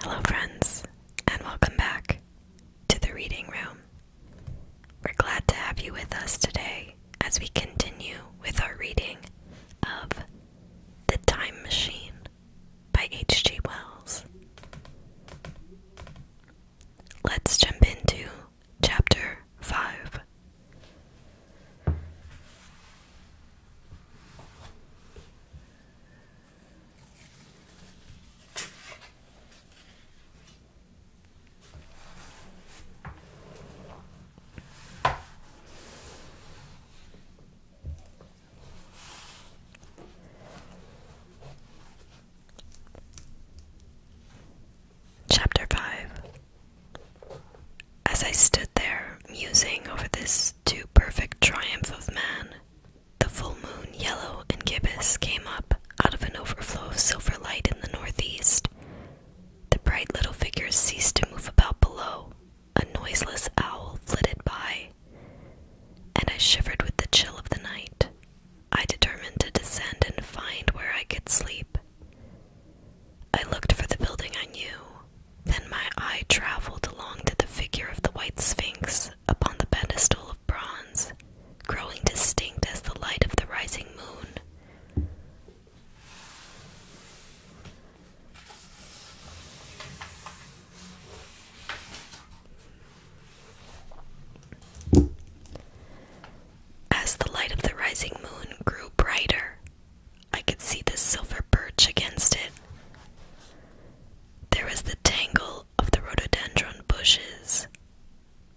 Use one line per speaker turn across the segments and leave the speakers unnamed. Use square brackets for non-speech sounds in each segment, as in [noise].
Hello, friends, and welcome back to the reading room. We're glad to have you with us today as we continue with our reading of The Time Machine by H.G. Wells. Let's jump into chapter 5. Chapter 5 As I stood there, musing over this too perfect triumph of man, the full moon, yellow and gibbous, came up out of an overflow of silver light in the northeast. The bright little figures ceased to move about below. A noiseless owl flitted by, and I shivered with the chill of the night. I determined to descend and find where I could sleep. I looked for the building I knew, then my eye traveled along to the figure of the White Sphinx upon the pedestal of bronze, growing distinct as the light of the rising moon. As the light of the rising moon grew brighter, I could see the silver birch against it. There was the tangle of the rhododendron bushes,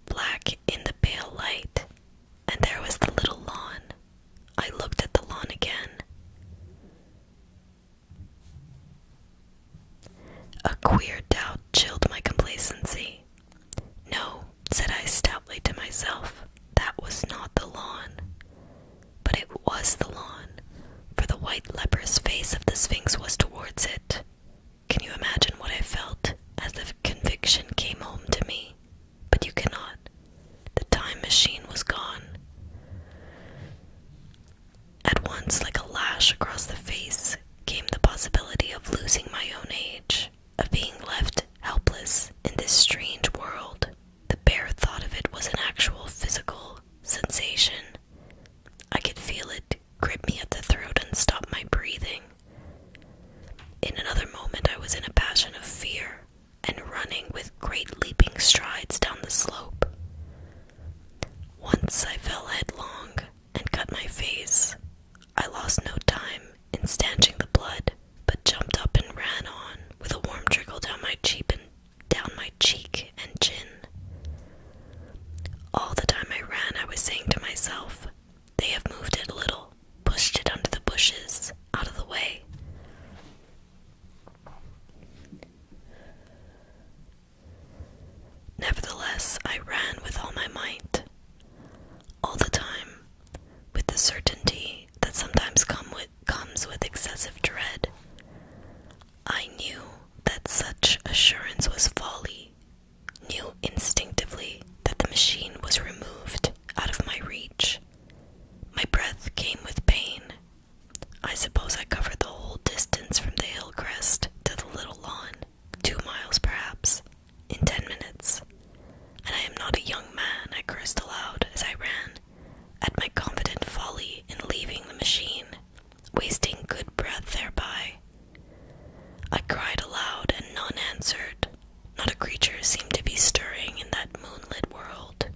black in the pale light, and there was the little lawn. I looked at the lawn again. A queer doubt chilled my complacency. No, said I stoutly to myself, that was not the lawn. But it was the lawn, for the white leper's face of the Sphinx was towards it. Can you imagine what I felt as the conviction came home to me? But you cannot. The time machine was gone. At once, like a lash across the face, came the possibility of losing my own age of being left helpless in this strange world. The bare thought of it was an actual physical sensation. I could feel it grip me at the throat and stop my breathing. In another moment, I was in a passion of fear and running with great leaping strides down the slope. Once I fell headlong, and cut my face. I lost no time in stanching the blood, but jumped up and ran on, with a warm trickle down my cheek and down my cheek and chin. All the time I ran, I was saying to myself, They have moved it a little, pushed it under the bushes, out of the way. Nevertheless, I ran with all my might all the time, with the certainty that sometimes comes with excessive dread. I knew that such assurance was folly, knew instinctively that the machine was removed out of my reach. My breath came with pain. I suppose I covered the whole distance from the hill crest to the little lawn two miles perhaps, in ten minutes. And I am not a young man, I cursed aloud as I ran, at my confident folly in leaving the machine, wasting good breath thereby. I cried aloud, and none answered. Not a creature seemed to be stirring in that moonlit world.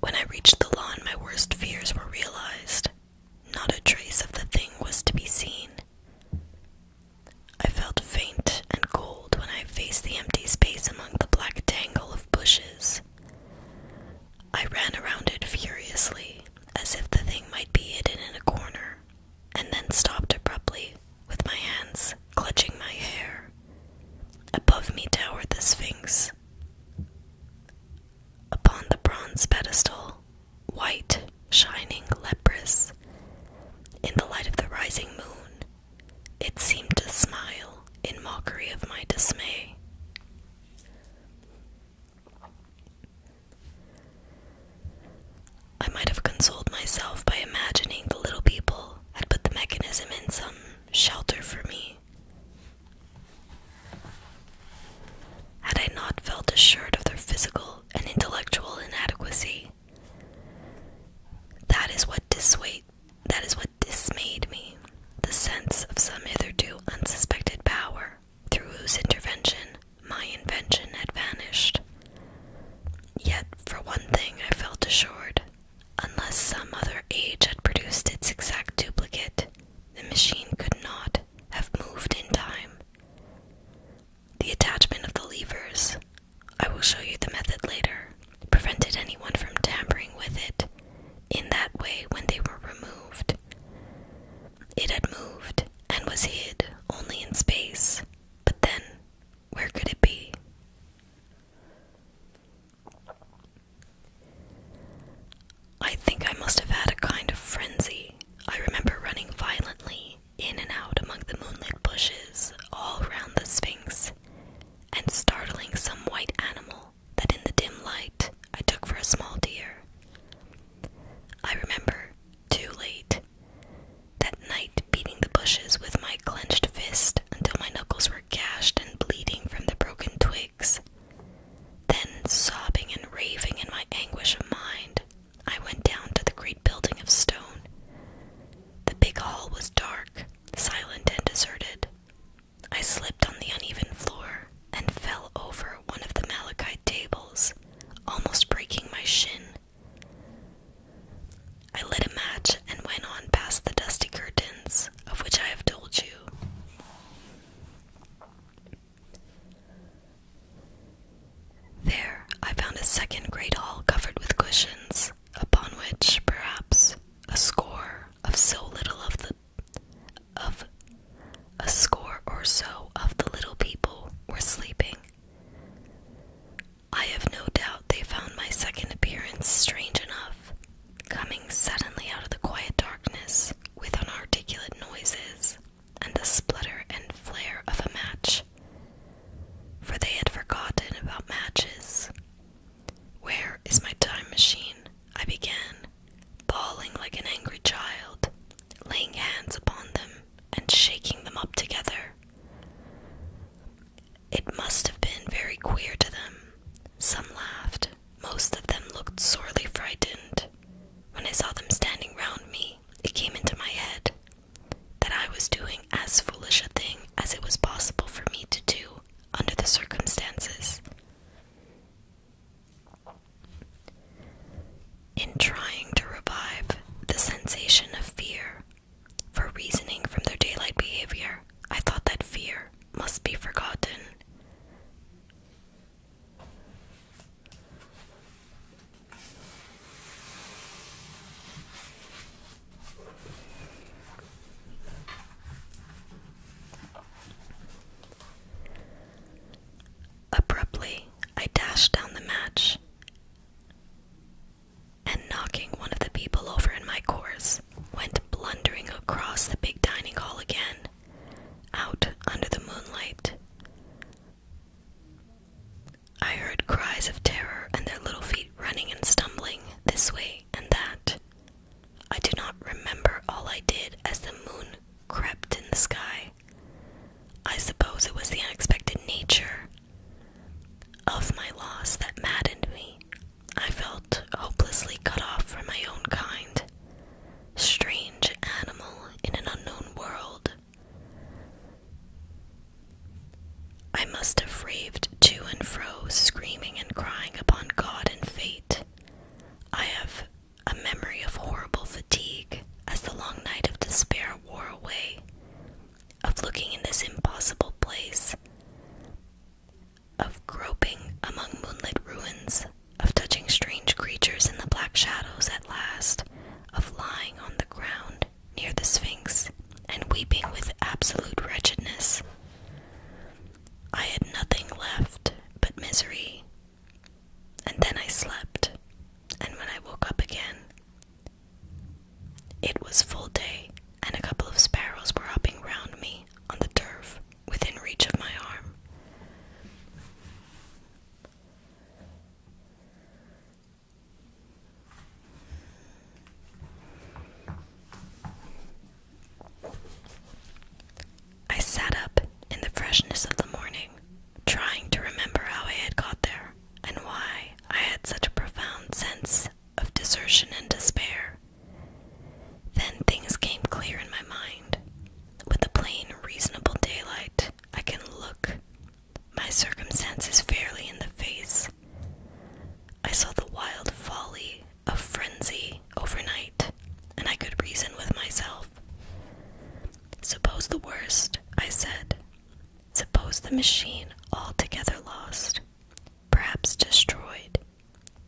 When I reached the lawn, my worst fears were realized. Not a trace of the thing was to be seen. I felt faint and cold when I faced the empty space among the black tangle of bushes. I ran around it furiously, as if the thing might be hidden in a corner, and then stopped abruptly, with my hands clutching my hair. Above me towered the Sphinx. Upon the bronze pedestal, white, shining, leprous, in the light of the rising moon, it seemed to smile in mockery of my dismay. I might have consoled myself by imagining the little people had put the mechanism in some shelter for me, had I not felt assured of their physical and intellectual inadequacy, that is what dissuade, that is what dismayed me, the sense of some hitherto unsuspected power, through whose intervention my invention had vanished. Yet, for one thing, I felt assured, unless some other age had produced its exact duplicate, the machine could not have moved in time. The attachment of the levers, I will show you the method later, prevented anyone from tampering with it in that way when they were removed. It had moved and was hid only in space, but then where could it be? I think I must have had a kind of frenzy. I remember running violently in and out among the moonlit bushes all round the Sphinx, and startling some white animal that in the dim light I took for a small deer. I remember, too late, that night beating the bushes with my clenched fist until my knuckles were gashed and bleeding from the broken twigs. Then, sobbing and raving in my anguish of mind, I went down to the great building of stone. The big hall was dark, silent, and deserted. I slipped on the uneven floor and fell over one of the malachite tables, almost breaking my shin. I lit a match and went on past the dusty curtains of which I have told you. There I found a second great hall covered with cushions, upon which, perhaps, a score of so little of the of a score or so of the little people were sleeping. I have no doubt they found my second appearance strange enough, coming suddenly out of the quiet darkness with inarticulate noises and the splutter and flare of a match, for they had forgotten about matches. Where is my time machine? I began, bawling like an angry child, laying hands upon them and shaking them up together. It must have been very queer to them. Some laughed, most of them looked sorely frightened. When I saw them standing round me, it came into my head that I was doing as foolish a thing as it was possible for me to do under the circumstances. In trying to revive the sensation of fear, for reasoning from their daylight behavior, I thought that fear must be forgotten. Abruptly, I dashed down the match and, knocking one of the people over in my course, went blundering across the big dining hall again out under the moonlight. I heard cries of terror and their little feet running and stumbling this way and that. I do not remember all I did as the moon crept in the sky. I suppose it was the unexpected nature of my loss that maddened me. I felt hopelessly cut off from my own kind strange animal in an unknown world. I must have raved to and fro, screaming and crying upon God and fate. I have a memory of horrible fatigue as the long night of despair wore away, of looking in this impossible place, of groping among moonlit ruins of touching strange creatures in the black shadows at last, of lying on the ground near the Sphinx and weeping with absolute wretchedness. I had nothing left but misery. And then I slept, and when I woke up again, it was full day, and a couple of sparrows were hopping round me on the turf within reach of my arm. I sat up in the freshness of the morning, trying to remember how I had got there and why I had such a profound sense of desertion and despair. Then things came clear in my mind. With the plain, reasonable daylight, I can look my circumstances fairly in the face. I saw the wild folly of frenzy overnight, and I could reason with myself. Suppose the worst, I said. Suppose the machine altogether lost, perhaps destroyed.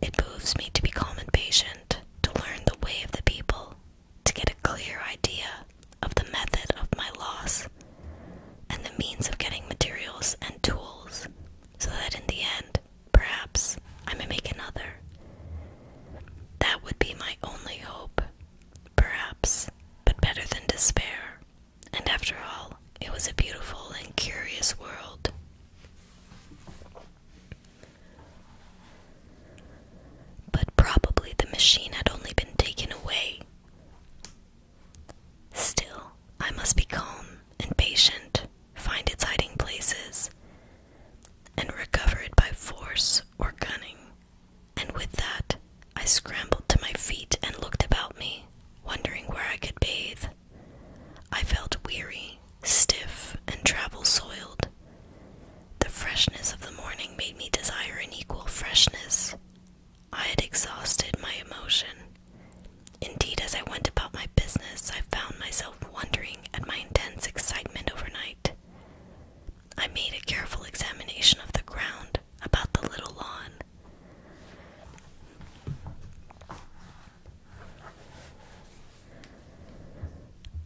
It moves me to be calm and patient, to learn the way of the people, to get a clear idea of the method of my loss and the means of getting materials and tools so that in the end, perhaps, I may make another. That would be my only hope, perhaps, but better than despair. And after all, it was a beautiful and curious world. But probably the machine had only been taken away. Still, I must be calm and patient, find its hiding places, and recover it by force or cunning. And with that, I scrambled to my feet and looked about me, wondering where I could bathe. I felt weary, stiff, and travel soiled. The freshness of the morning made me desire an equal freshness. I had exhausted my emotion. Indeed, as I went about my business, I found myself wondering at my intense excitement overnight. I made a careful examination of the ground about the little lawn.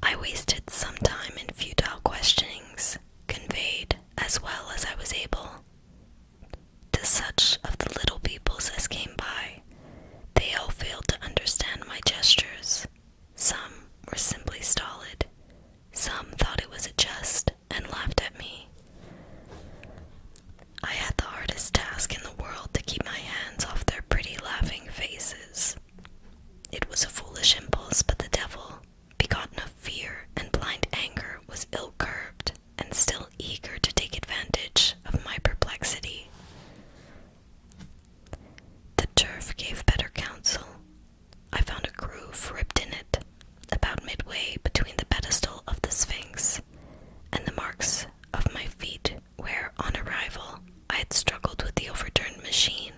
I wasted some time in futile questionings, conveyed, as well as I was able, to such of the little peoples as came by. They all failed to understand my gestures. Some were simply stolid. Some thought it was a jest and laughed at me. I had the hardest task in the world to keep my hands off their pretty laughing faces. It was a foolish impulse, but the devil, begotten of fear and blind anger, was ill curbed and still eager to take advantage of my perplexity. The turf gave better counsel. I found a groove ripped in it, about midway between the pedestal of the Sphinx and the marks of my feet, where, on arrival, I had struggled with the overturned machine.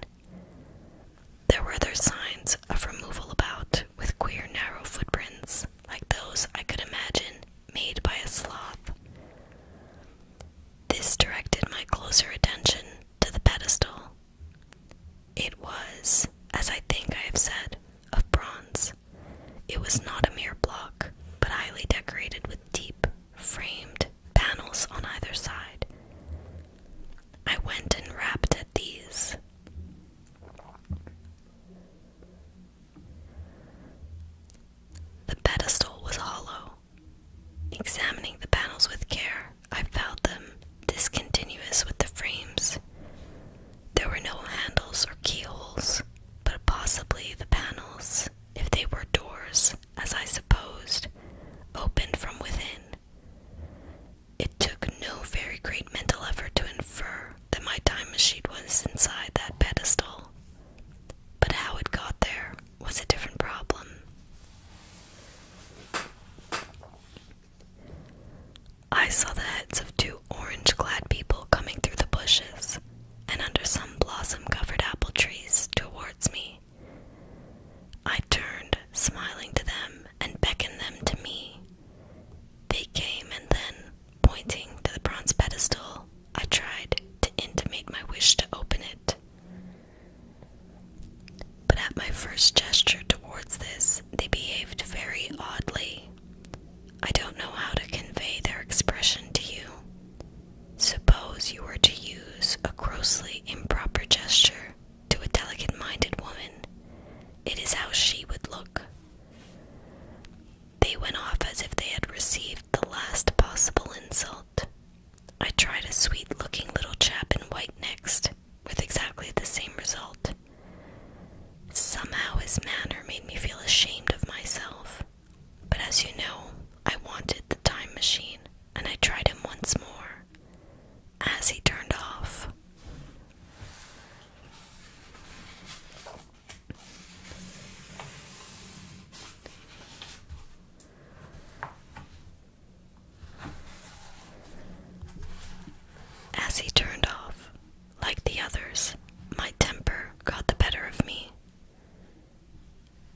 There were other signs of removal about, with queer narrow footprints, like those I could imagine made by a sloth. This directed my closer attention to the pedestal. It was, as I think I have said, of bronze. It was not a mere block, but highly decorated with deep, framed, panels on either side. I went and rapped at these. The pedestal was hollow. Examining the panels with care, I found them discontinuous with the frames. There were no handles or keyholes, but possibly the panels, if they were doors, as I supposed, opened from within. It took no very great mental effort to infer that my time machine was inside that pedestal. But how it got there was a different problem. I saw the heads of two orange clad people coming through the bushes and under some blossom covered apple trees towards me. I turned, smiling to them, and beckoned them to me. They came, and then, pointing to the bronze pedestal, I tried to intimate my wish to open it. But at my first gesture towards this, they behaved very oddly. I don't know how to convey their expression to you. Suppose you were to use a grossly improper gesture to a delicate minded woman. It is how she would look. They went off as if they had received the last possible insult. I tried a sweet looking little chap in white next, with exactly the same result. Somehow his manner made me feel ashamed of myself. But as you know, I wanted the time machine and I tried him once more as he turned off. As he turned off, like the others, my temper got the better of me.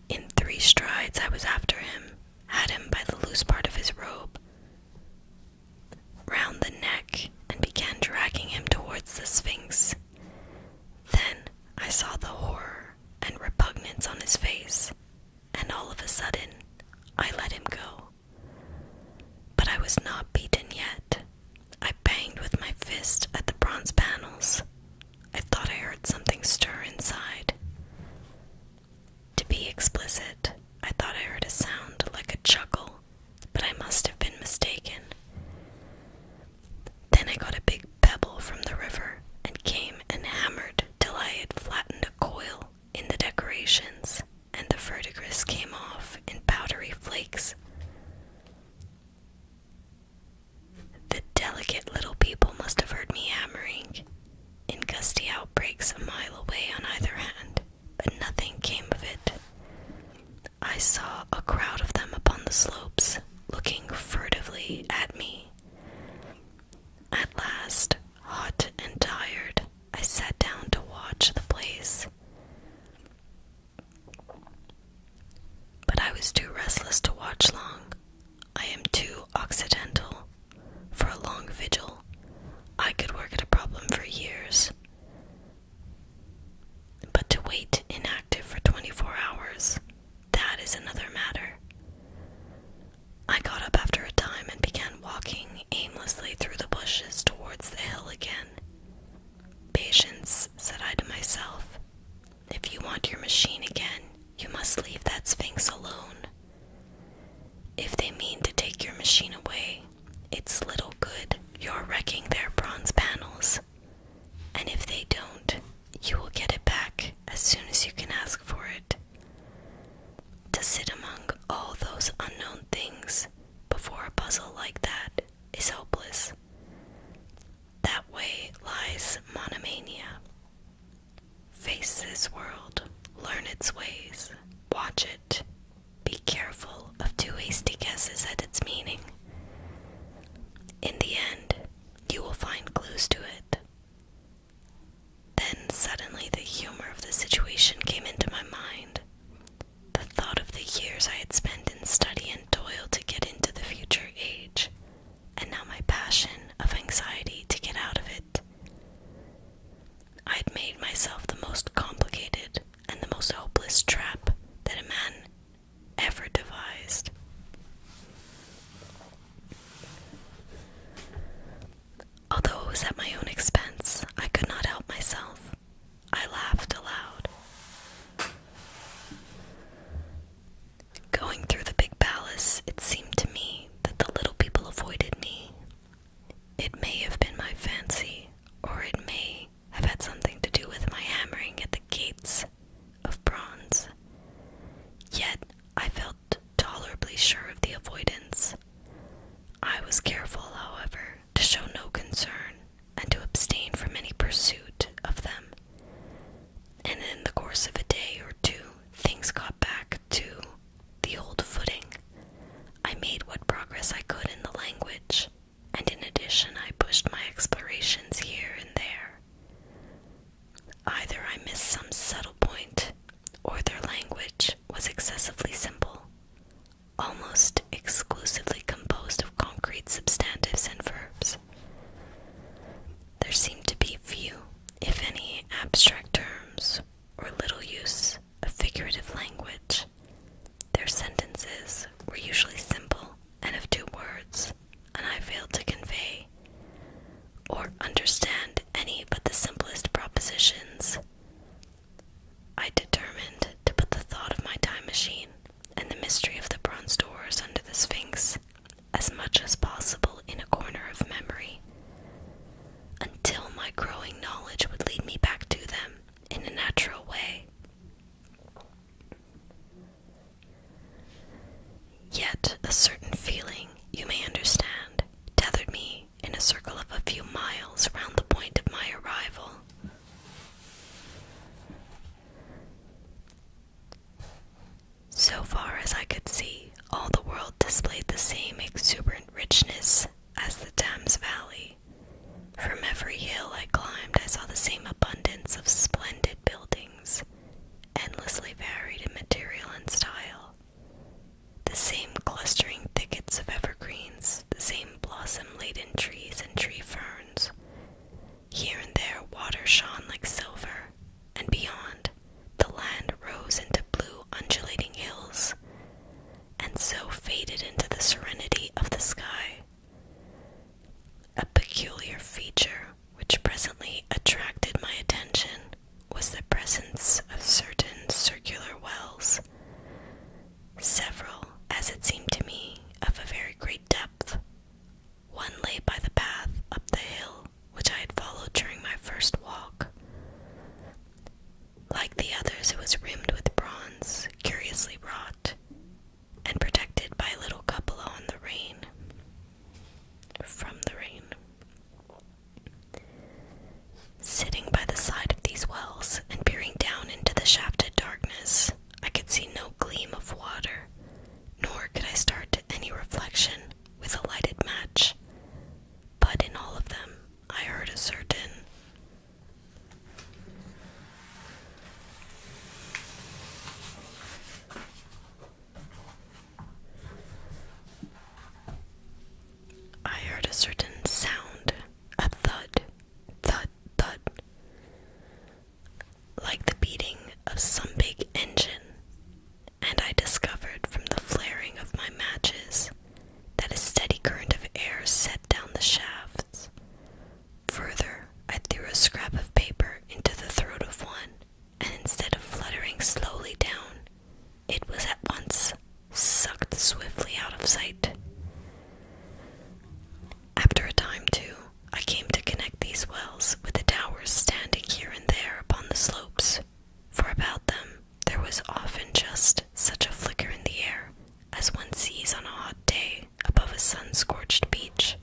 In three strides I was after him, had him by the loose part of his robe round the neck, and began dragging him towards the Sphinx. Then I saw the horror and repugnance on his face, and all of a sudden I let him go. But I was not beaten yet. I banged with my fist at the bronze panels. I thought I heard something stir inside. To be explicit, I thought I heard a sound like a chuckle, but I must have been mistaken. Then I got a big pebble from the river and came and hammered till I had flattened a coil in the decorations, and the verdigris came off in powdery flakes. The delicate little people must have heard me hammering, in gusty outbreaks a mile away on either hand, but nothing came of it. I saw a crowd of them upon the slopes, looking furtively at me. At last, hot and tired, I sat down to watch the blaze, But I was too restless to watch long. I am too occidental for a long vigil. I could work at a problem for years. But to wait inactive for 24 hours, that is another matter. I got up after a time and began walking aimlessly through the bushes towards the hill again. Patience, said I to myself, if you want your machine again, you must leave that sphinx alone. If they mean to take your machine away, it's little good. You're wrecking their bronze panels. And if they don't, you will get it back as soon as you can ask for it. To sit among all those unknown things before a puzzle like that is hopeless. That way lies monomania. Face this world, learn its ways, watch it. Be careful of too hasty guesses at its meaning. In the end, you will find clues to it. Then suddenly the humor of the situation came into my mind. The thought of the years I had spent in study and toil to get into the future age, and now my passion of anxiety to get out of it I'd made myself the most complicated and the most hopeless trap that a man ever devised. Although it was at my own expense, I could not help myself. I laughed aloud. Going through the big palace, it seemed to me that the little people avoided me. It may have been my fancy, or it may have had something to do with my hammering at the gates of bronze. Yet I felt tolerably sure of the avoidance. I was careful, however, to show no concern and to abstain from any pursuit of them. And in the course of a day or two, things got back to the old footing. I made what progress I could in the language, and in addition, I pushed my explorations here and there. Either I missed some subtle point, or their language was excessively simple, almost exclusively composed of concrete substantives and verbs. There seemed to be few, if any, abstract terms or little use of figurative language. Their sentences were usually simple and of two words, and I failed to convey or understand any but the simplest propositions. I determined to put the thought of my time machine and the mystery of the bronze doors under the Sphinx as much as possible in a corner of memory until my growing knowledge would lead me back to them in a natural way. Yet a certain feeling, you may understand, tethered me in a circle of a few miles round the point of my arrival. So far as I could see, all the world displayed the same exuberant richness as the Thames Valley. From every hill I climbed, I saw the same abundance of splendid buildings, endlessly varied in material and style. The same clustering thickets of evergreens, the same blossom laden trees and tree ferns. Here and there, water shone like silver, and beyond, the land rose into blue, undulating hills, and so faded into the serenity of the sky. A peculiar feature which presently attracted my attention was the presence of certain circular wells, several, as it seemed to me, of a very great depth. One lay by the path up the hill, which I had followed during my first walk. Like the others, it was rimmed with bronze, curiously wrought, and protected by a little cupola on the rain. From the rain. Sitting by the side of these wells and peering down into the shafted darkness, I could see no gleam of water, nor could I start to any reflection with a lighted match, but in all of them I heard a certain I heard a certain sound, a thud, thud, thud, like the beating of some big engine and I discovered from the flaring of my matches that a steady current of air set down the shafts. Further, I threw a scrap of paper into the throat of one, and instead of fluttering slowly down, it was at once sucked swiftly out of sight. After a time, too, I came to connect these wells with the towers standing here and there upon the slopes for about them there was often just such a flicker in the air as one sees on a hot day above a sun scorched beach.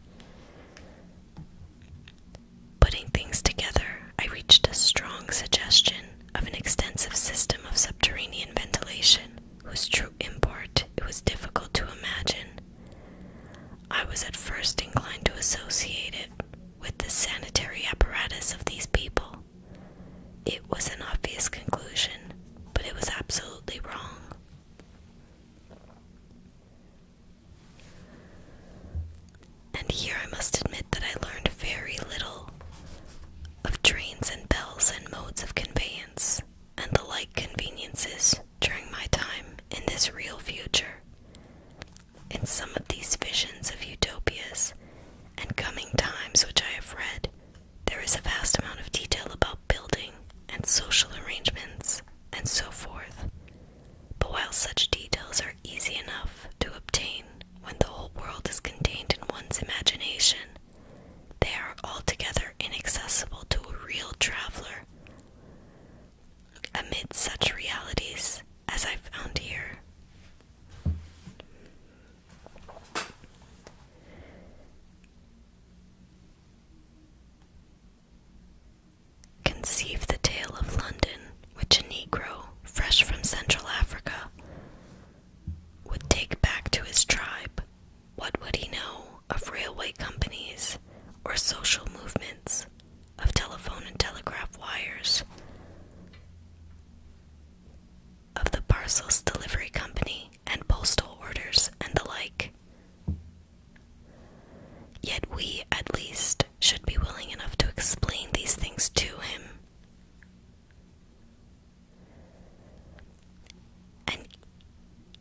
Putting things together, I reached a strong suggestion of an extensive system of subterranean ventilation whose true import it was difficult to imagine. I was at first inclined to associate it with the sanitary apparatus of these people, it was an obvious conclusion, but it was absolutely wrong. And here I must admit that I learned very little of trains and bells and modes of conveyance and the like conveniences during my time in this real future, in some of these visions of utopias and coming times which I have read, there is a vast amount of detail about building and social arrangements and so forth. But while such details are easy enough to obtain when the whole world is contained in one's imagination, they are altogether inaccessible to a real traveler. Amid such realities as I found here, Conceive the tale of London, which a Negro, fresh from Central Africa, would take back to his tribe. What would he know of railway companies or social movements, of telephone and telegraph wires? of the parcels delivery company and postal orders and the like. Yet we, at least, should be willing enough to explain these things to him. And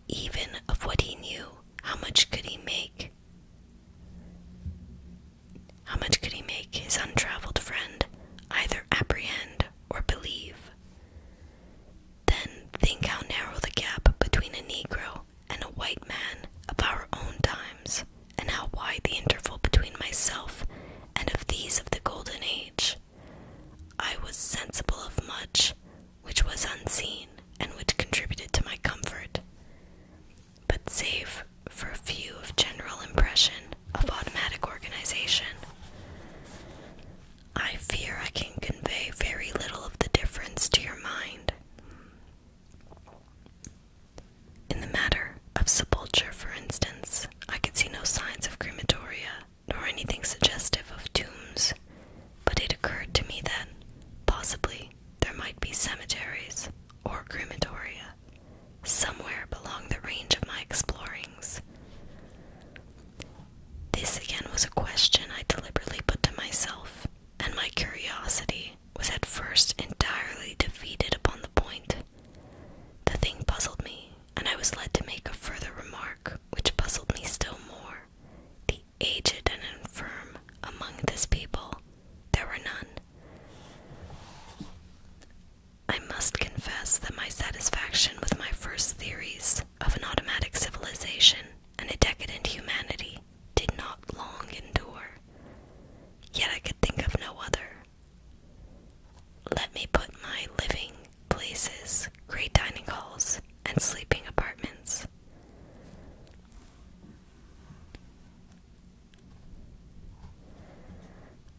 even of what he knew, how much could he make? How much could he make his untravelled friend either apprehend or believe? Then think how narrow the gap between a Negro and a white man of our own times, and how wide the interval between myself and of these of the golden age. I was sensible of much which was unseen and which contributed to my comfort but save for a few of general impression of automatic organization. I fear I can convey very little of the difference to your mind. In the matter of sepulture, for instance, I could see no signs of crematoria nor anything suggestive of tombs, but it occurred to me that, possibly, there might be cemeteries or crematoria somewhere belong the range of my explorings. This again was a question I deliberately put to myself, and my curiosity was at first entirely defeated upon the point. The thing puzzled me, and I was led to make a further remark which puzzled me still more. The aged and infirm among this people, there were none. I must confess that my satisfaction with my first theories of an automatic civilization and a decadent humanity did not long endure, yet I could think of no other. Let me put my living places, great dining halls, and sleeping apartments.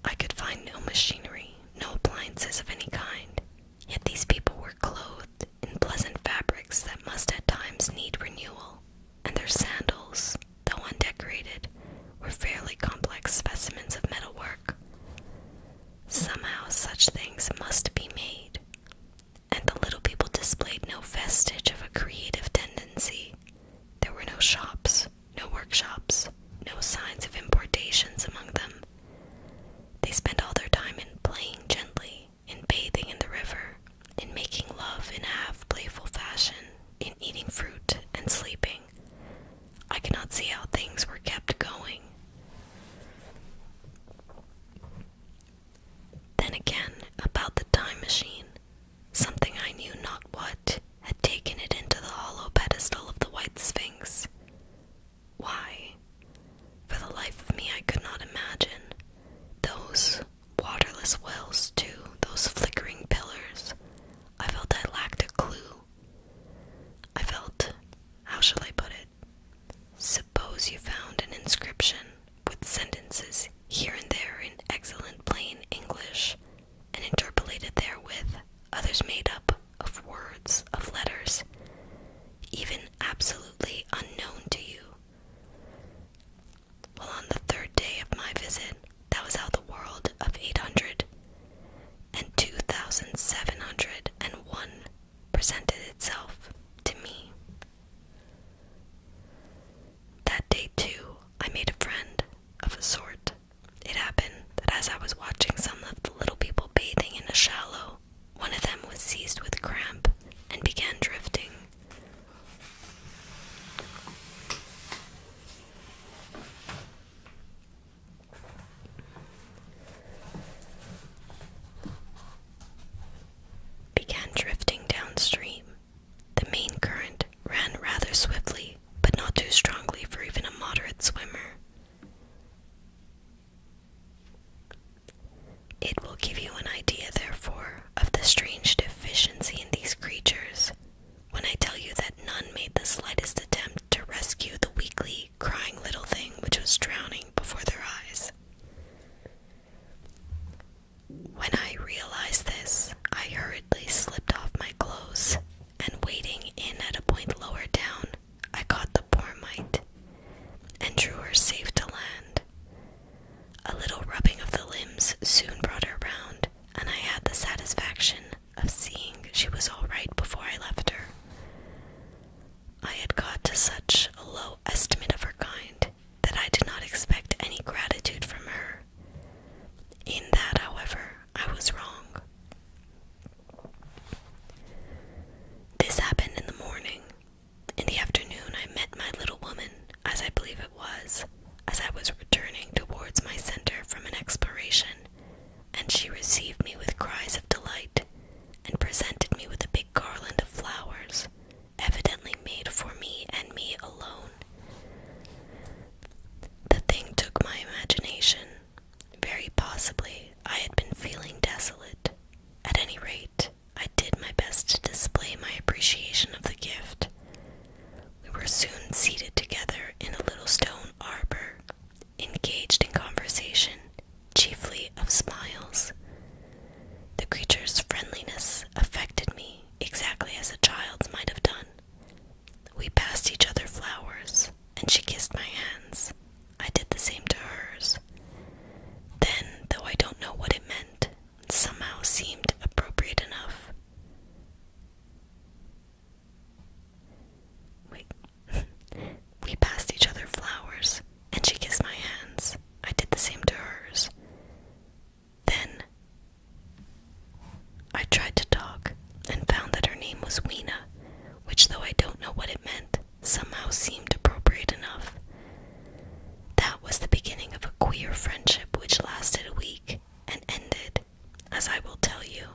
I could find no machinery, no appliances of any kind, yet these people were clothed in pleasant fabrics that must at times need renewal, and their sandals, though undecorated, were fairly complex specimens of metalwork. Somehow such things must be made, and the little people displayed no vestige of a creative tendency. There were no shops, no workshops, no signs of importations among them. They spent all their time in playing gently, in bathing in the river, in making love in a half playful fashion, in eating fruit and sleeping. I cannot see how things were kept going. Then again, about the time machine. Something I knew not what had taken it into the hollow pedestal of the White Sphinx. Why? For the life of me, I could not imagine. Those waterless wells, too, those flickering pillars. I felt I lacked a clue. I felt, how shall I put it? Suppose you found an inscription with sentences here and there in excellent plain English, and interpolated therewith others made up of words, of letters, even absolutely unknown to you. Well, on the third day of my visit, that was how the world of 800 and 2,701 presented itself to me. That day, too, I made a friend of a sort. It happened that as I was watching some of the little people bathing in a shallow, one of them was seized with cramp and began drifting. Began drifting downstream. The main current ran rather swiftly but not too strongly for even a moderate swimmer. It will give you an idea, therefore, of the strange deficiency in these creatures when I tell you that none made the slightest attempt to rescue the weakly, crying little thing which was drowning before their eyes. When I realized this, I heard they slipped off my clothes, and wading in at a point lower down, I caught the poor mite and drew her safe to land. A little rubbing of the limbs soon brought her round, and I had the satisfaction of seeing she was all right before I left her. I had got to such a low estimate of her kind that I did not expect any gratitude from her in that, however, I was wrong. This happened in the morning. In the afternoon, I met my little woman, as I believe it was, as I was returning towards my center from an exploration, and she received me with cries of delight and presented me with a big garland of flowers, evidently made for me and me alone. The thing took my imagination. Very possibly I had been feeling desolate. At any rate, I did my best to display my appreciation of the gift. We were soon seated together in a little stone arbor, engaged in conversation, chiefly of smiles. The creature's friendliness affected me exactly as a child's might have done. We passed each other flowers, and she kissed my hands. I did the same to hers. Then, though I don't know what it meant, it somehow seemed appropriate enough. Wait. [laughs] we passed each other flowers, and she kissed my hands. I did the same to hers. Then, I tried to talk and found that her name was Weena, which, though I don't know what it meant, somehow seemed appropriate enough. That was the beginning of a queer friendship which lasted a week and ended, as I will tell you.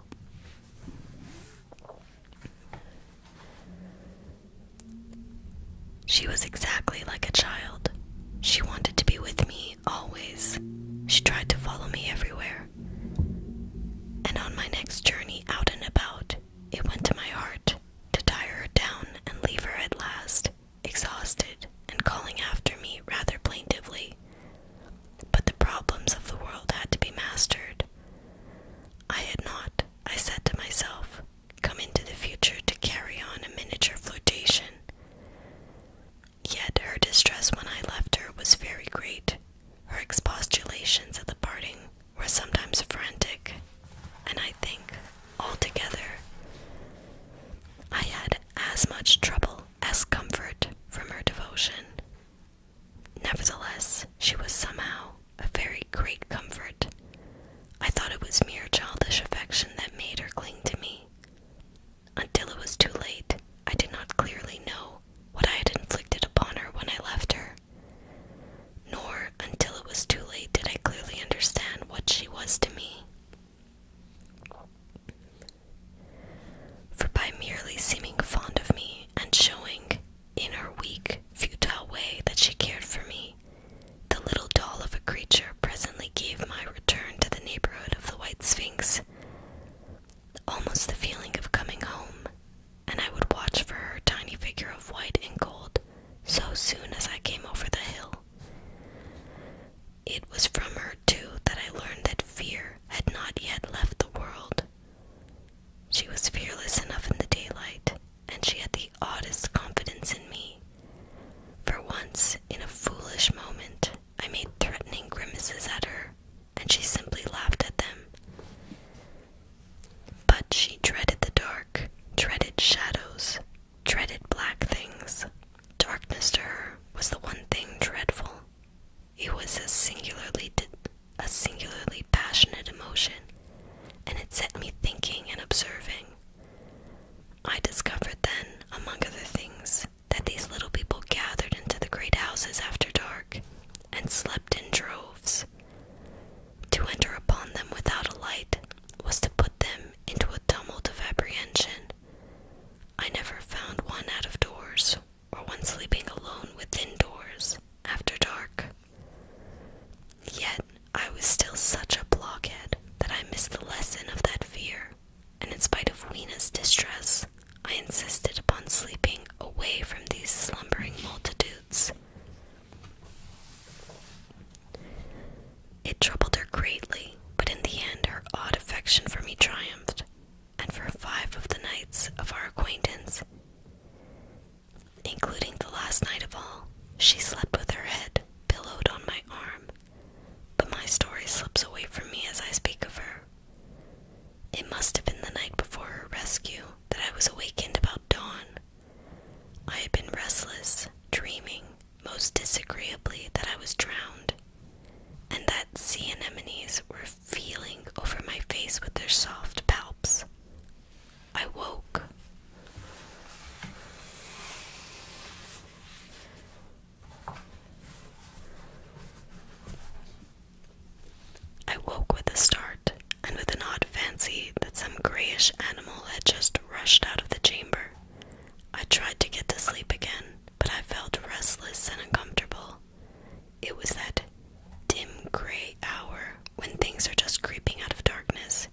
She was exactly like a child. She wanted to be with me always. She tried to follow me everywhere. And on my next journey out and about, it went to my heart to tire her down and leave her at last, exhausted and calling after me rather plaintively. But the problems of the world had to be mastered. I had not, I said to myself, come into the future to carry on a miniature flirtation. Yet her distress when I left her was very great. Her expostulations at the parting were sometimes frantic, and I think altogether I had as much trouble as comfort from her devotion. Nevertheless, she was somehow a very great comfort. I thought it was mere childish affection that made her cling to me. Until it was too late, I did not clearly know what I had inflicted upon her when I left her. Nor, until it was too late, did I clearly understand what she was to me. For by merely seeming fond of me and showing, in her weak, futile way, that she cared for me, the little doll of a creature presently gave my return to the neighborhood of the White Sphinx almost the feeling of coming home, and I would watch for her tiny figure of white and gold so soon as I came over the hill. It was from her, too, that I learned that fear had not yet left the world. She was fearless enough in the daylight, and she had the oddest confidence in me. For once, in a foolish moment, I made threatening grimaces at her, and she simply laughed at them. But she dreaded the dark, dreaded shadows, dreaded black things. Darkness to her was the one thing dreadful. It was a singularly a singularly passionate emotion, and it set me thinking and observing. I discovered then, among other things, that these little people gathered into the great houses after dark and slept in droves. To enter upon them without a light was to put them into a tumult of apprehension. I never found one out of doors or one sleeping alone within doors after dark. Yet I was still such a blockhead that I missed the lesson of that fear and in spite of Weena's distress, I insisted upon sleeping away from these slumbering multitudes. It troubled her greatly, but in the end her odd affection for me triumphed, and for five of the nights of our acquaintance, including the last night of all, she slept with her head pillowed on my arm. But my story slips away from me as I speak of her. It must have been the night before her rescue that I was awakened about dawn. I had been restless, dreaming most disagreeably that I was drowned, and that sea anemones were feeling over my face with their soft palps. I woke. I woke with a start, and with an odd fancy that some grayish animal had just rushed out of the chamber. I tried to get to sleep again, but I felt restless and uncomfortable. It was that dim gray hour when things are just creeping out of darkness,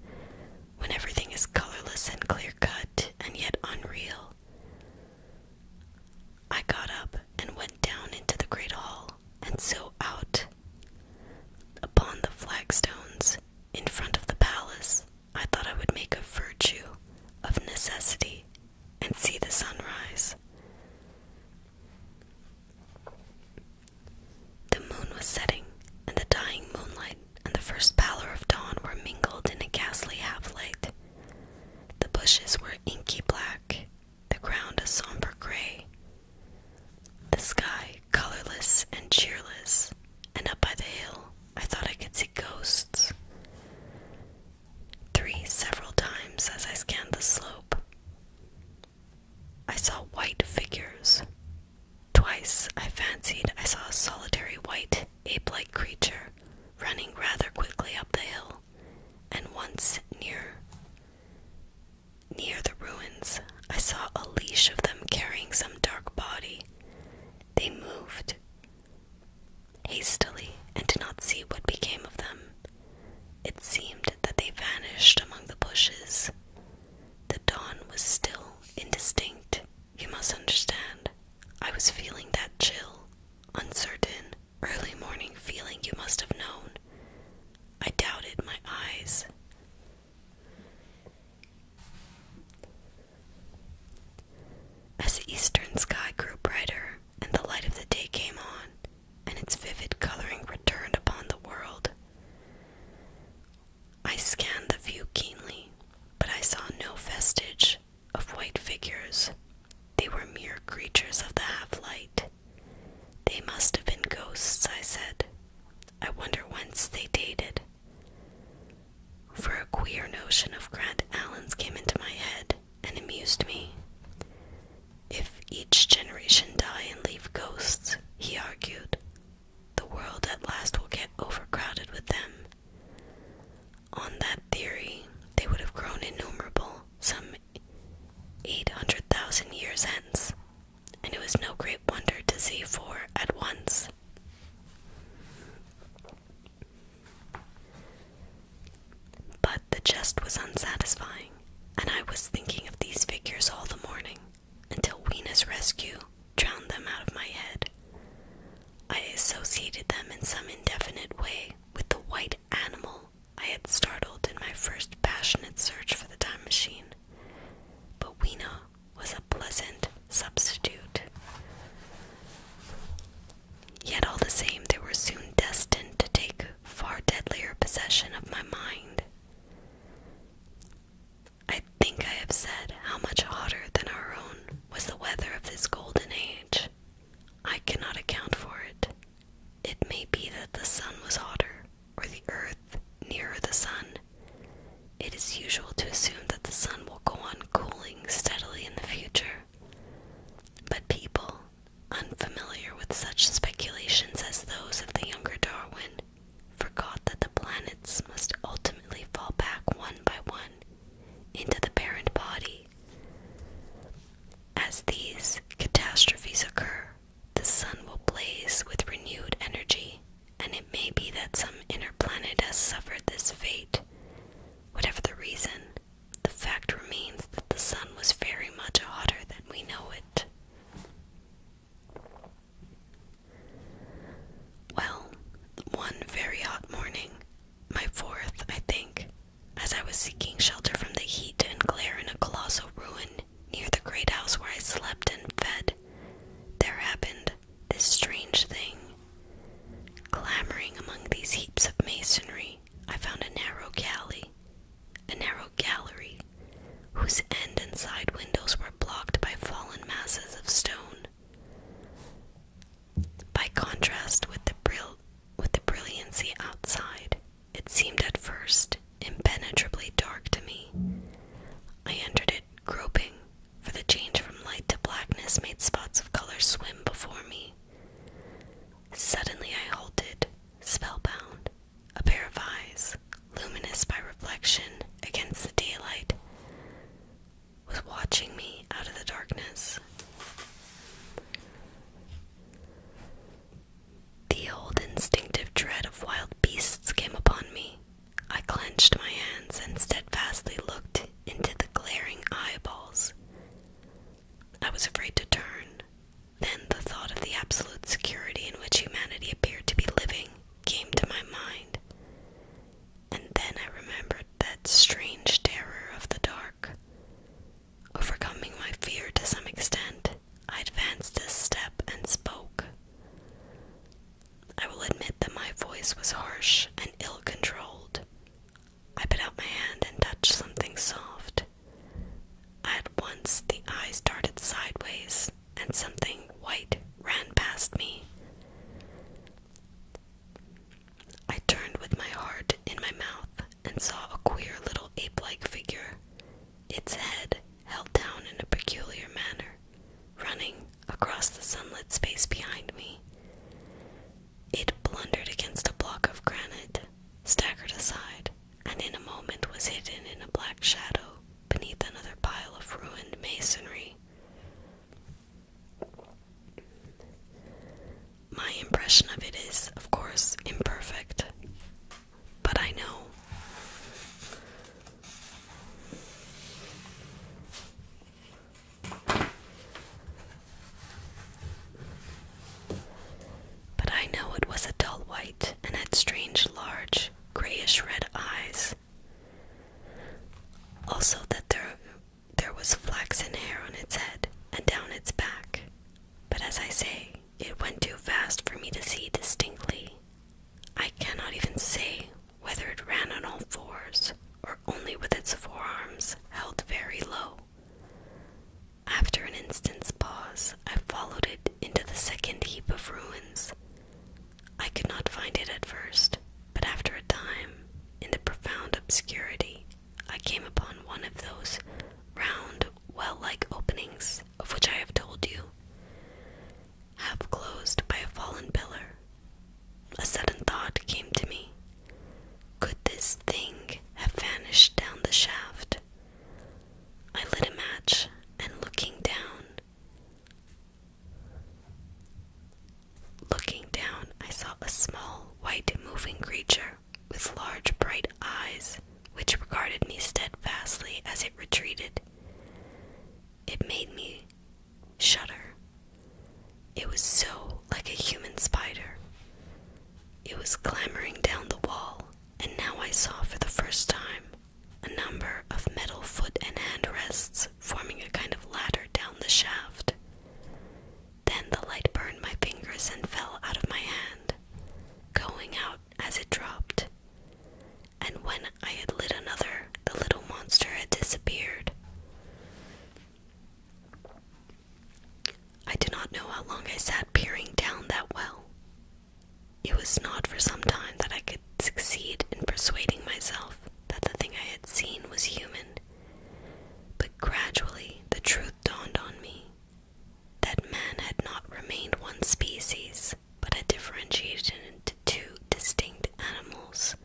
when everything is colorless and clear cut and yet unreal. I got up and went down into the great hall, and so out. Upon the flagstones in front of the palace, I thought I would make a virtue of necessity and see the sunrise. The moon was setting, and the dying moonlight and the first pallor of dawn were mingled in a ghastly half light. The bushes were inky black, the ground a somber gray, the sky colorless and cheerless, and up by the hill I thought I could see ghosts. Three several times as I scanned the slope. I saw white figures. Twice I fancied I saw a solitary white ape like creature running rather quickly up the hill and once near near the ruins, I saw a leash of them carrying some dark body. They moved hastily and did not see what became of them. It seemed that they vanished among the bushes. The dawn was still indistinct. You must understand, I was feeling that chill, uncertain, early morning feeling you must have known. I doubted my eyes. As the eastern sky grew brighter and the light of the day came on, and its vivid coloring returned upon the world, I scanned the view keenly, but I saw no vestige of white figures they were mere creatures of the half light. They must have been ghosts, I said. I wonder whence they dated. For a queer notion of Grant Allen's came into my head and amused me. If each generation die and leave ghosts, he argued, the world at last will get overcrowded with them. On that theory, they would have grown innumerable some 800,000 years hence, and it was no great wonder to see four at once. But the jest was unsatisfying, and I was thinking of these figures all the morning until Weena's rescue drowned them out of my head. I associated them in some indefinite way with the white animal I had startled in my first passionate search for the time machine, but Weena was a pleasant substitute. Yet all the same, they were soon destined to take far deadlier possession of my mind. I think I have said how much hotter than our own was the weather of this golden age. I cannot account for it. It may be that the sun was hotter, or the earth nearer the sun. It is usual to assume that the sun will go on cooling steadily in the future. But people, unfamiliar with such speculations as those of the younger Darwin, forgot that the planets must ultimately fall back one by one into the parent body as these catastrophes occur, the sun will blaze with renewed energy, and it may be that some inner planet has suffered this fate. Whatever the reason, the fact remains that the sun was very much hotter than we know it. Well, one very hot morning, my fourth, I think, as I was seeking shelter from the heat and glare in a colossal ruin near the great house where I slept and fed, there happened this strange thing. Clambering among these heaps of masonry, I found a narrow galley, a narrow gallery, whose end and side windows were blocked by fallen masses of stone. By contrast with the brill with the brilliancy outside, it seemed at first impenetrably dark to me. I entered it groping, for the change from light to blackness made spots of color swim before me. Suddenly I halted, spellbound, a pair of eyes, luminous by reflection against the daylight, was watching me out of the darkness. The old instinctive dread of wild beasts came upon me. I clenched my hands and steadfastly looked into the glaring eyeballs. I was afraid to turn. Then the thought of the absolute security in which humanity appeared to be living came to my mind. And then I remembered that strange terror of the dark. Overcoming my fear to some extent, I advanced a step and spoke. I will admit that my voice was harsh and ill controlled. I put out my hand and touched something soft. At once the eyes darted sideways and something white ran past me. I turned with my heart in my mouth and saw a queer little ape like figure, its head held down in a peculiar manner, running across the sunlit space behind me. It blundered against a block of granite, staggered aside, and in a moment was hidden in a black shadow beneath another pile of ruined masonry my impression of it is, of course, imperfect, but I know. But I know it was a dull white and had strange, large, grayish red eyes. Also, that there, there was flaxen hair on its head and down its back. But as I say, it went too fast for me to see distinctly. I cannot even say whether it ran on all fours or only with its forearms held very low. After an instant's pause, I followed it into the second heap of ruins. I could not find it at first, but after a time, in the profound obscurity, I came upon one of those round well like openings, of which I have told you, half closed by a fallen pillar. A sudden thought came to me. Could this thing have vanished down the shaft? I lit a match and looking down, looking down, I saw a small white moving creature with large bright eyes, which regarded me steadfastly as it retreated. It made me shudder. It was so like a human spider. It was clambering down the wall, and now I saw for the first time a number of metal foot and hand rests forming a kind of ladder down the shaft. Then the light burned my fingers and fell out of my hand going out as it dropped. And when I had lit another, the little monster had disappeared. I do not know how long I sat peering down that well. It was not for some time that I could succeed in persuading myself that the thing I had seen was human. But gradually the truth dawned on me that man had not remained one species, but had differentiated into two distinct animals,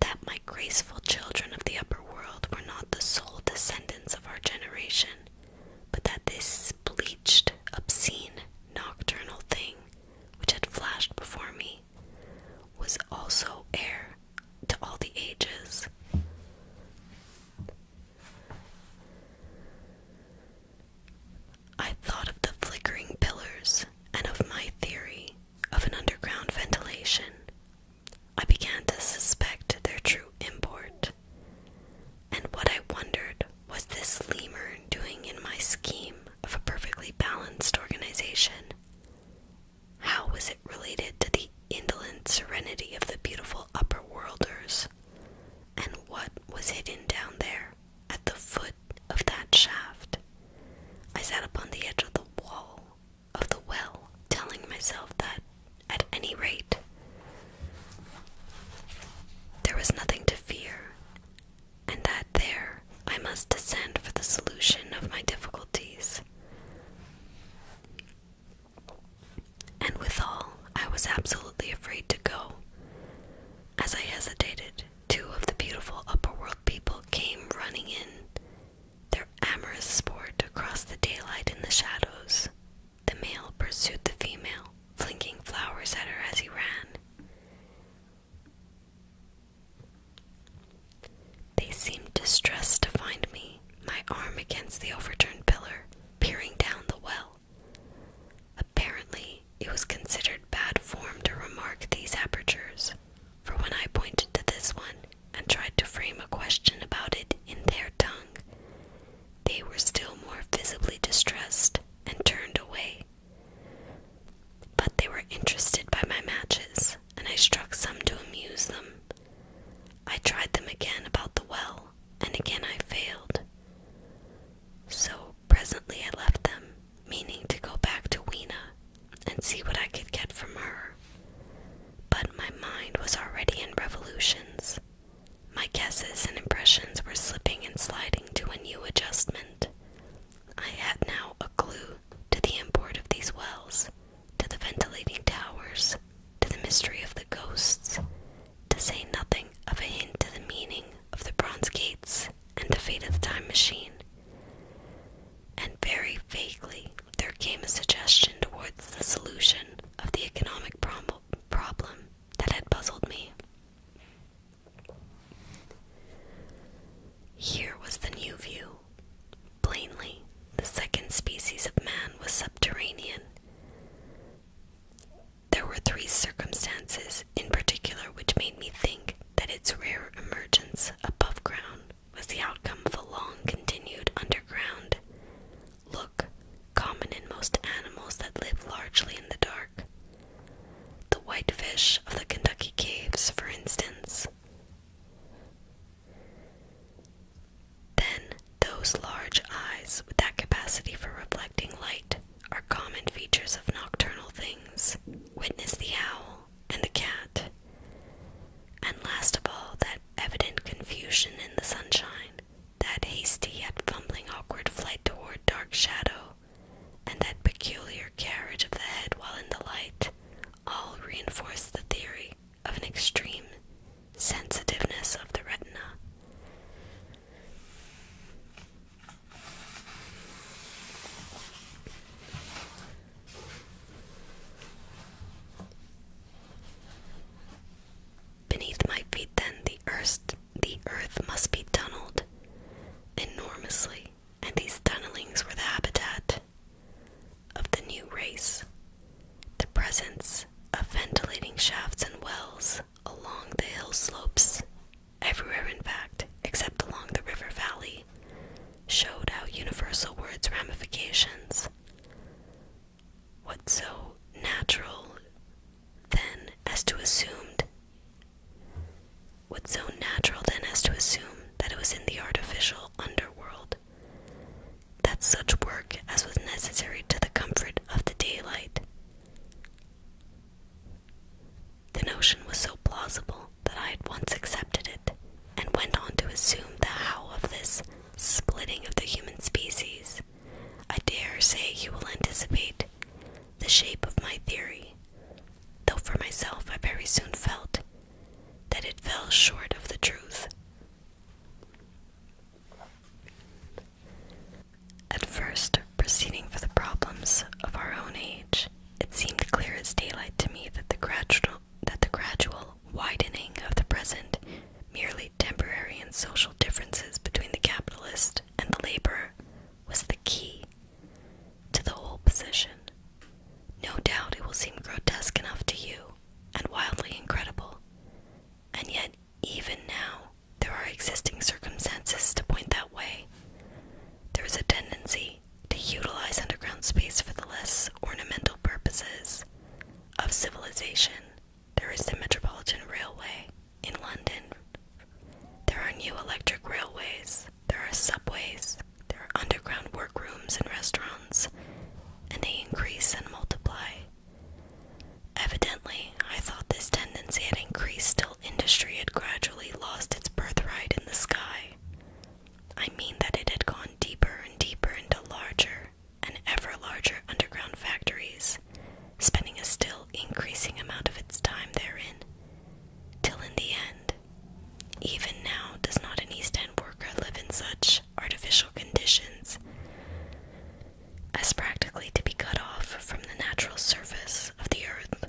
that my graceful children of the upper world were not the sole descendants of our generation, but that this bleached, obscene, nocturnal thing, which had flashed before me, was also heir to all the ages. I thought of the flickering pillars and of my theory of an underground ventilation. I began to suspect their true import. And what I wondered was this lemur doing in my scheme of a perfectly balanced organization. How was it related to the indolent serenity of the beautiful upper worlders? and what was hidden down there at the foot of that shaft. I sat upon the edge of the wall of the well, telling myself that, at any rate, there was nothing to fear, and that there I must descend for the solution of my difficulties. And withal, I was absolutely afraid to go. As I hesitated, two of the beautiful upper world people came running in, their amorous sport across the daylight in the shadows. The male pursued the female, flinging flowers at her as he ran. They seemed distressed to find me, my arm against the overturned pillar, peering down the well. Apparently, it was considered bad form to remark these apertures, for when I pointed to this one and tried to frame a question about it in their tongue, they were still more visibly distressed and turned away. But they were interested by my matches, and I struck some to amuse them. I tried them again about the well, and again I failed. So presently I left them, meaning to go back to Weena and see what I could get from her. But my mind was already in revolutions. My guesses and impressions were slipping and sliding to a new adjustment. I had now a clue to the import of these wells, to the ventilating towers, to the mystery of the ghosts, to say nothing of a hint to the meaning of the bronze gates and the fate of the time machine. And very vaguely there came a suggestion towards the solution of the economic problem that had puzzled me. Here was the new view. Plainly, the second species of man was subterranean. There were three circumstances in particular which made me think that its rare emergence above ground was the outcome of a long continued underground look common in most animals that live largely in the dark. The whitefish of the Kentucky caves, for instance. Then, those large eyes with that capacity for reflecting light are common features of nocturnal things. Witness the owl and the cat. And last of all, that evident confusion in the sunshine, that hasty yet fumbling awkward flight toward dark shadow, and that peculiar carriage of the head while in the light, all reinforce the theory of an extreme sensitiveness of the retina. Beneath my feet, then, the earth, the earth must be tunneled enormously, and these tunnelings were the habitat of the new race. The presence of ventilating shafts and wells along the hill slopes, everywhere in fact, except along the river valley, showed how universal were its ramifications. What so natural, then, as to assumed what so natural then as to assume that it was in the artificial underworld that such work as was necessary to the comfort of the daylight the notion was so plausible that I at once accepted it, and went on to assume the how of this splitting of the human species. I dare say you will anticipate the shape of my theory, though for myself I very soon felt that it fell short of the truth. At first, proceeding for the problems of our own age, it seemed clear as daylight to me that the gradual that the gradual widening of the present, merely temporary and social differences between the capitalist and the laborer, was the key to the whole position. No doubt it will seem grotesque enough to you, and wildly incredible, and yet even now, there are existing circumstances to point that way. There is a tendency to utilize underground space for the less ornamental purposes of civilization. There is the Metropolitan Railway in London. There are new electric railways, there are subways, there are underground workrooms and restaurants, and they increase and multiply. Evidently, I thought this tendency had increased till industry had gradually lost its birthright in the sky. I mean that it had gone deeper and deeper into larger and ever larger underground factories, spending a still increasing amount of its time therein, till in the end, even now does not an East End worker live in such artificial conditions? as practically to be cut off from the natural surface of the earth.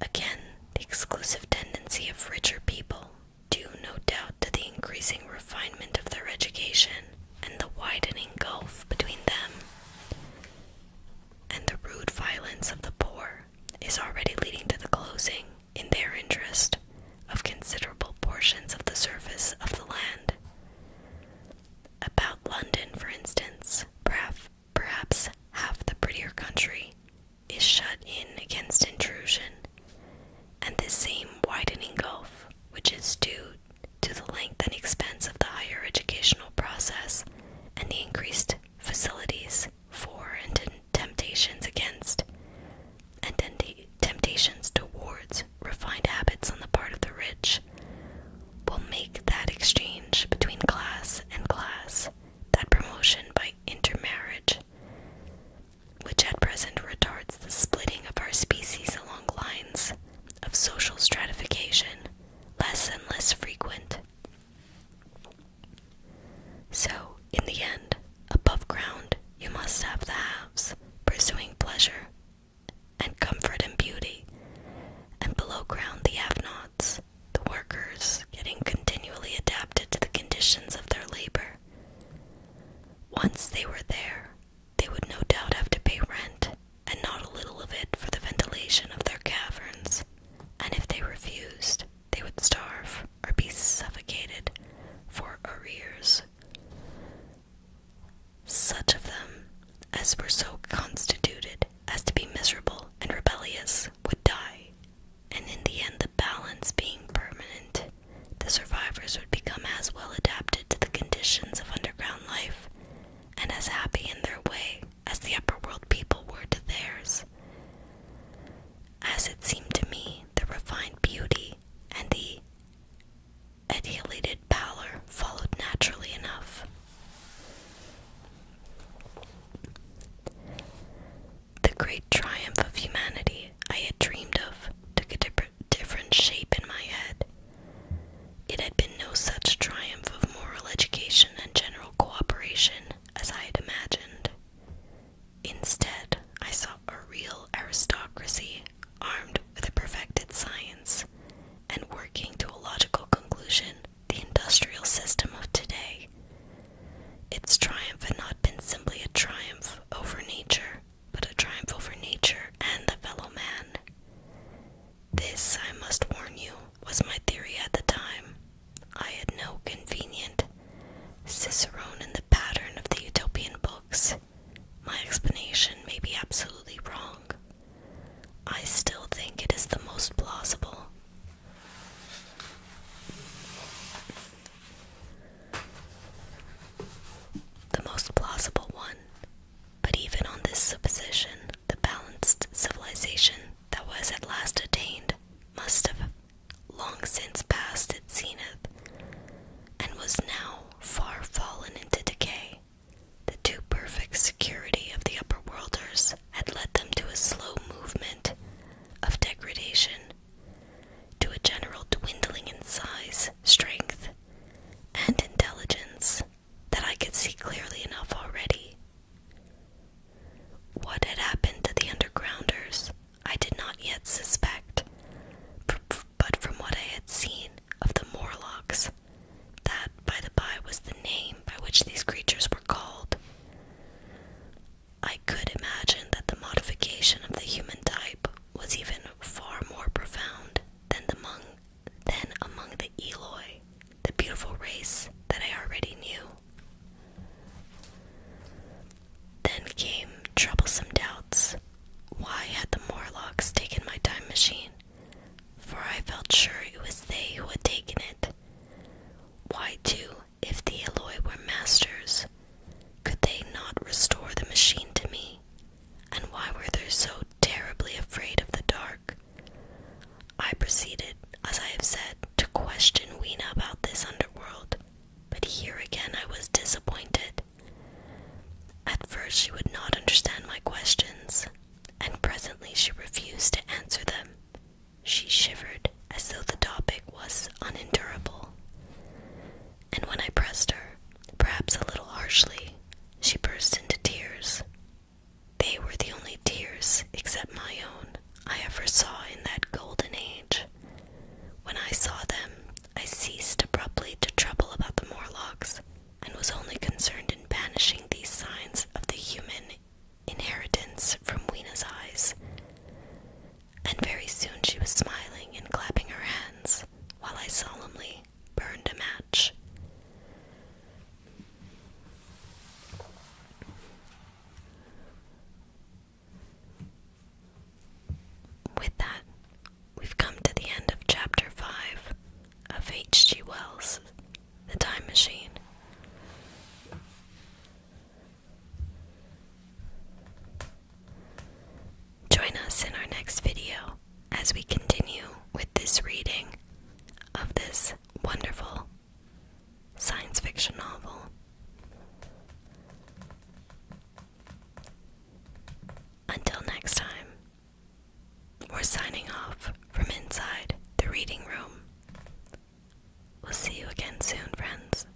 Again, the exclusive tendency of richer people, due no doubt to the increasing refinement of their education and the widening gulf between them, and the rude violence of the poor, is already leading to the closing, in their interest, of considerable portions of the surface of the land about London, for instance, perhaps, perhaps half the prettier country is shut in against intrusion, and this same widening gulf, which is due to the length and expense of the higher educational process and the increased facilities for and temptations against and temptations towards refined habits on the part of the rich will make that exchange between class and class, that promotion by intermarriage, which at present retards the splitting of our species along lines of social stratification, less and less frequent. So, in the end, above ground, you must have the haves, pursuing pleasure and comfort and beauty, and below ground the have the workers getting continually adapted to the conditions of their labor. Once they were there, they would no doubt have to pay rent, and not a little of it for the ventilation of their caverns, and if they refused, they would starve or be suffocated for arrears such of them as were so constituted as to be miserable and rebellious would die, and in the end, the balance being permanent, the survivors would become as well adapted to the conditions of underground life and as happy in their way as the upper world people were to theirs. As it seemed to me, the refined beauty and the annihilated pallor followed naturally enough. The great triumph of humanity I had dreamed of took a different shape in my head. It had been no such triumph of moral education and general cooperation as I had imagined. Instead, I saw a real aristocracy Armed with a perfected science and working to a logical conclusion, the industrial system of today. Its triumph had not been simply a triumph over nature, but a triumph over nature and the fellow man. This, I must warn you, was my theory at the time. I had no convenient Cicerone in the pattern of the Utopian books, my explanation may be absolutely wrong. I still think it is the most plausible. The most plausible one. But even on this supposition, the balanced civilization that was at last attained must have long since passed its zenith and was now far fallen into decay. The too perfect security of the upper worlders had led them to a slow movement of degradation, to a general dwindling in size, strength, and intelligence that I could see clearly enough already. What had happened to the undergrounders, I did not yet suspect, but from what I had seen of the Morlocks, that, by the by, was the name by which these creatures were called. I could imagine that the modification of the human type was even far more profound than among than among the Eloi, the beautiful race that I already knew. Then came troublesome doubts. Why had the Morlocks taken my time machine? for I felt sure it was they who had taken it. Why, too, if the Eloi were masters, could they not restore the machine to me? And why were they so terribly afraid of the dark? I proceeded, as I have said, to question Weena about this underworld, but here again I was disappointed. At first, she would not understand my questions, and presently she refused to answer them. She shivered as though the topic was unendurable. And when I pressed her, perhaps a little harshly, she burst into tears. They were the only tears, except my own, I ever saw in that golden age. When I saw them, I ceased abruptly to trouble about the Morlocks and was only concerned in banishing these signs of the human inheritance from Weena's eyes. And very soon she was smiling and clapping her hands while I solemnly burned a match. With that, We've come to the end of Chapter 5 of H.G. Wells' The Time Machine. Join us in our next video as we continue with this reading of this wonderful science fiction novel. Until next time. We're signing off from inside the reading room. We'll see you again soon, friends.